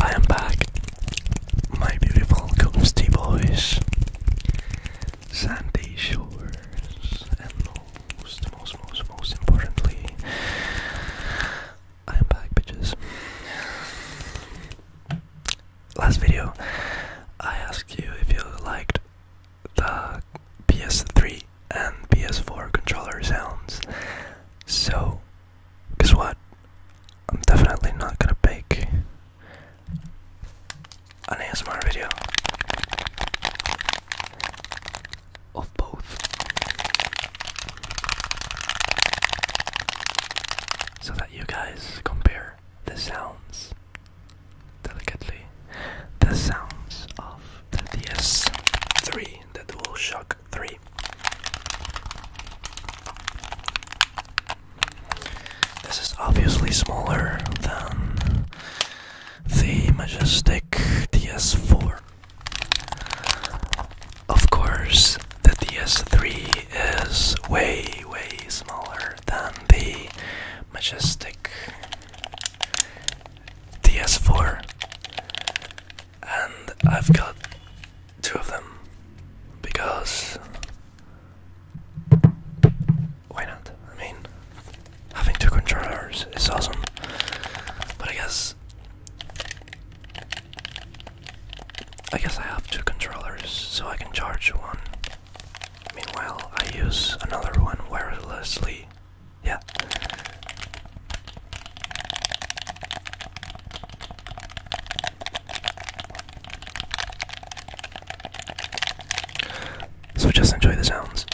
I am back, my beautiful ghosty boys, sandy shores, and most, most, most, most importantly, I am back, bitches. Last video, I asked you if you liked the PS3 and PS4 controller sounds. So, guess what? I'm definitely not gonna make an ASMR video of both. So that you guys compare the sounds delicately, the sounds of the DS3, the DualShock 3. This is obviously smaller than the Majestic DS4. Of course, the DS3 is way, way smaller than the Majestic DS4, and I've got two of them because why not? I mean, having two controllers is awesome, but I guess. I guess I have two controllers so I can charge one. Meanwhile, I use another one wirelessly yeah. So just enjoy the sounds.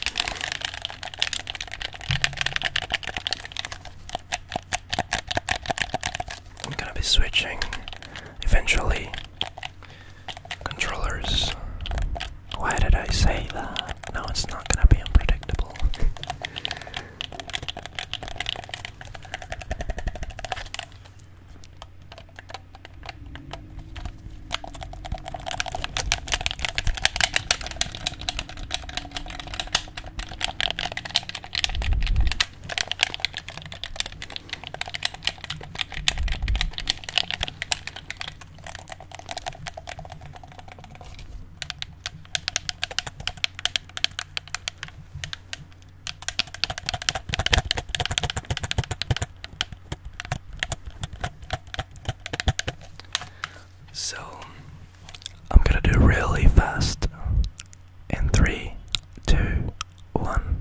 I'm gonna be switching eventually controllers why did I say that? No, it's not gonna be unpredictable. So I'm gonna do really fast in three, two, one.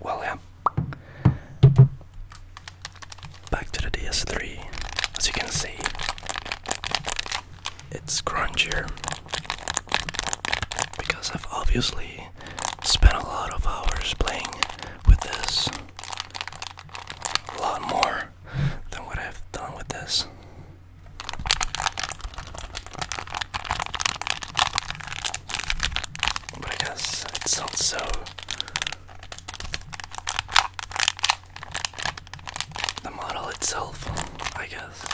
Well, yeah. Back to the DS3. As you can see, it's crunchier because I've obviously spent a lot of hours playing with this. A lot more than what I've done with this. But I guess it sounds The model itself, I guess.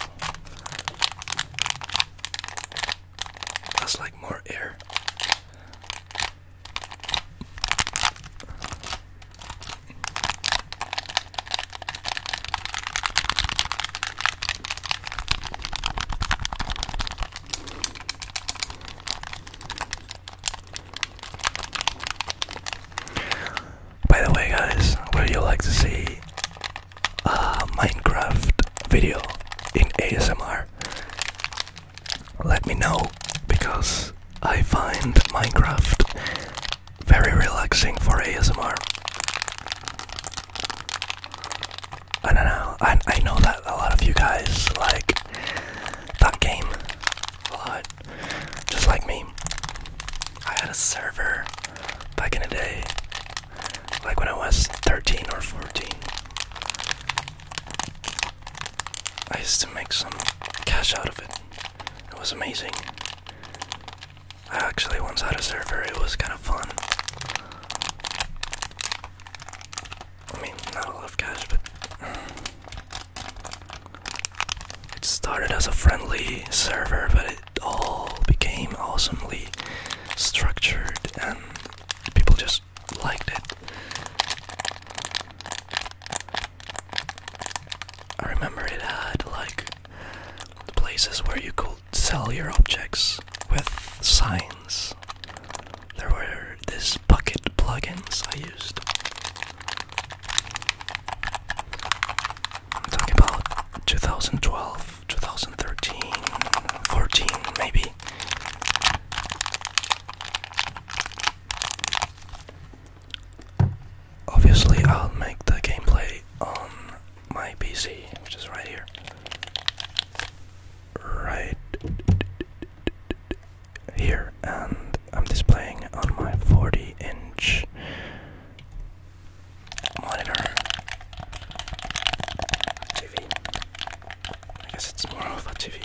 That's like more air. By the way, guys, would you like to see a Minecraft video in ASMR? let me know because I find Minecraft very relaxing for ASMR. I don't know. I, I know that a lot of you guys like that game a lot, just like me. I had a server back in the day, like when I was 13 or 14. I used to make some cash out of it. It was amazing. I actually once had a server, it was kind of fun. I mean, not a lot of cash, but. It started as a friendly server, but it all became awesomely structured and people just liked it. I remember it had like places where you could sell your objects with signs. There were these bucket plugins I used. I'm talking about 2012, 2013, 14 maybe. Obviously, I'll make the gameplay on my PC, which is right here. Right here, and I'm displaying on my 40 inch monitor TV. I guess it's more of a TV.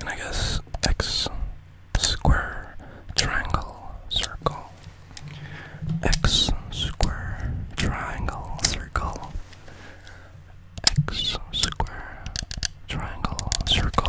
And I guess x square triangle circle. X square triangle circle. X square triangle circle.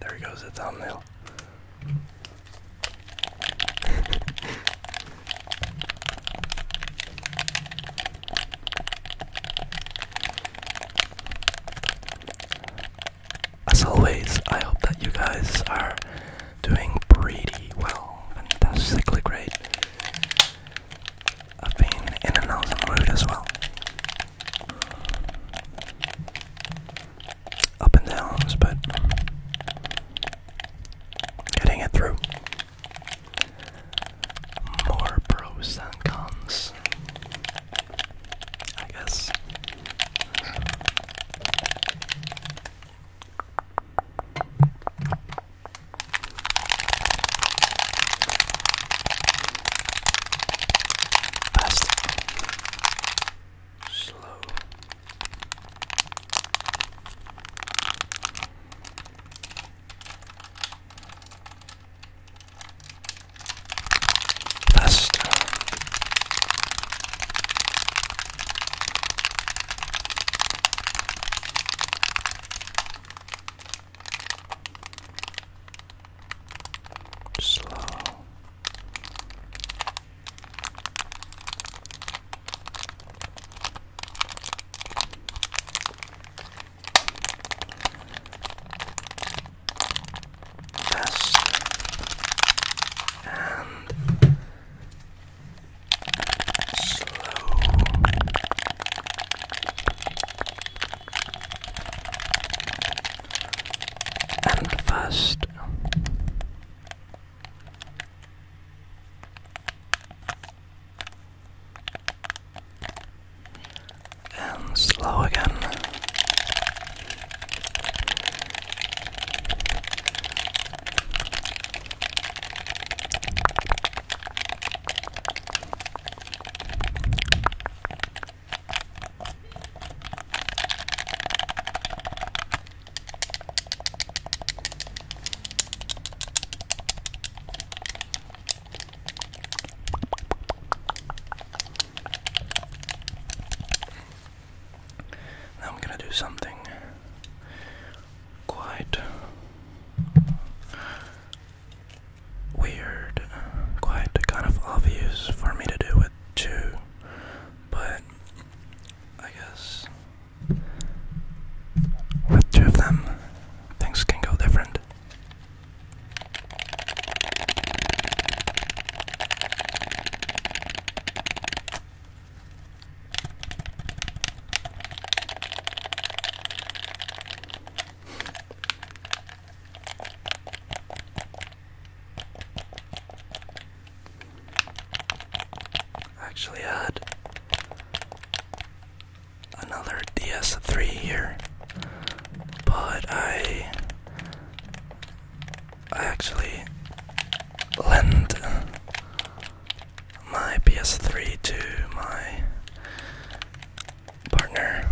there goes the thumbnail. As always, I hope that you guys are doing pretty well, fantastically great. I've been in and out an the mood as well up and downs, but getting it through. More pros than cons, I guess. Fast. Slow. Faster slow. Fast and slow. And first, and slow again. I'm going to do something quite weird, quite kind of obvious for me to do it too, but I guess with two of them, things can go different. Actually had another DS3 here, but I I actually lend my PS3 to my partner.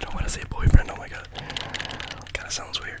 don't want to say boyfriend, oh my god. Kind of sounds weird.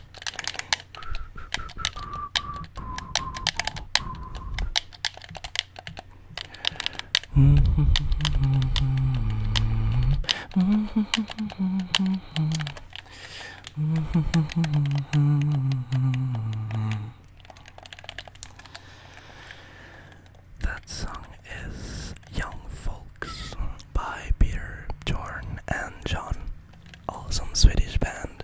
That song is Young Folks by Peter, Jorn, and John. Awesome Swedish band.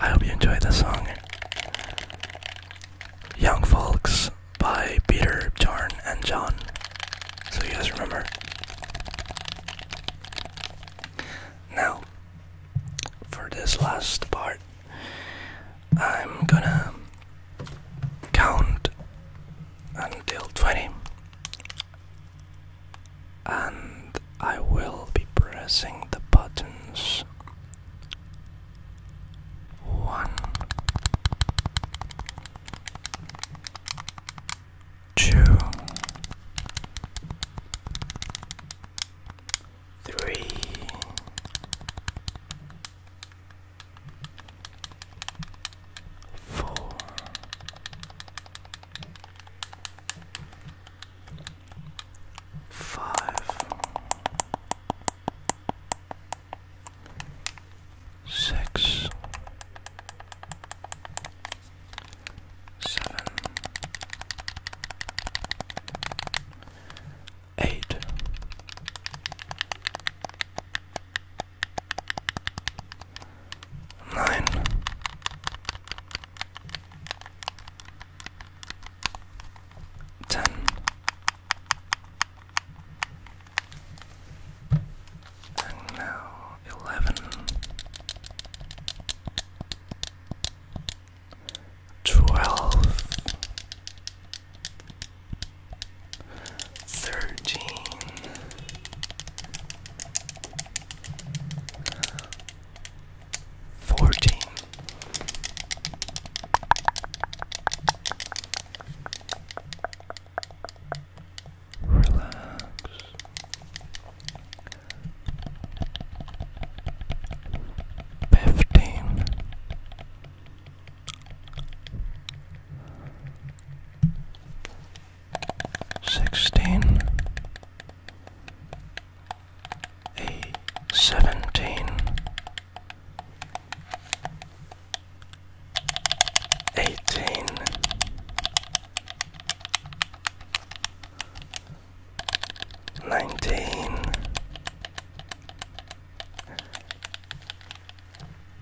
I hope you enjoy the song. Young Folks by Peter, John, and John. So you guys remember. Now, for this last part, I'm gonna count until 20 and I will be pressing the buttons one, two, three, four, five, six, seven, eight. Nein. Ten. And now eleven. Twelve thirteen, fourteen, relax. Fifteen sixteen, a seventeen, eighteen. Nineteen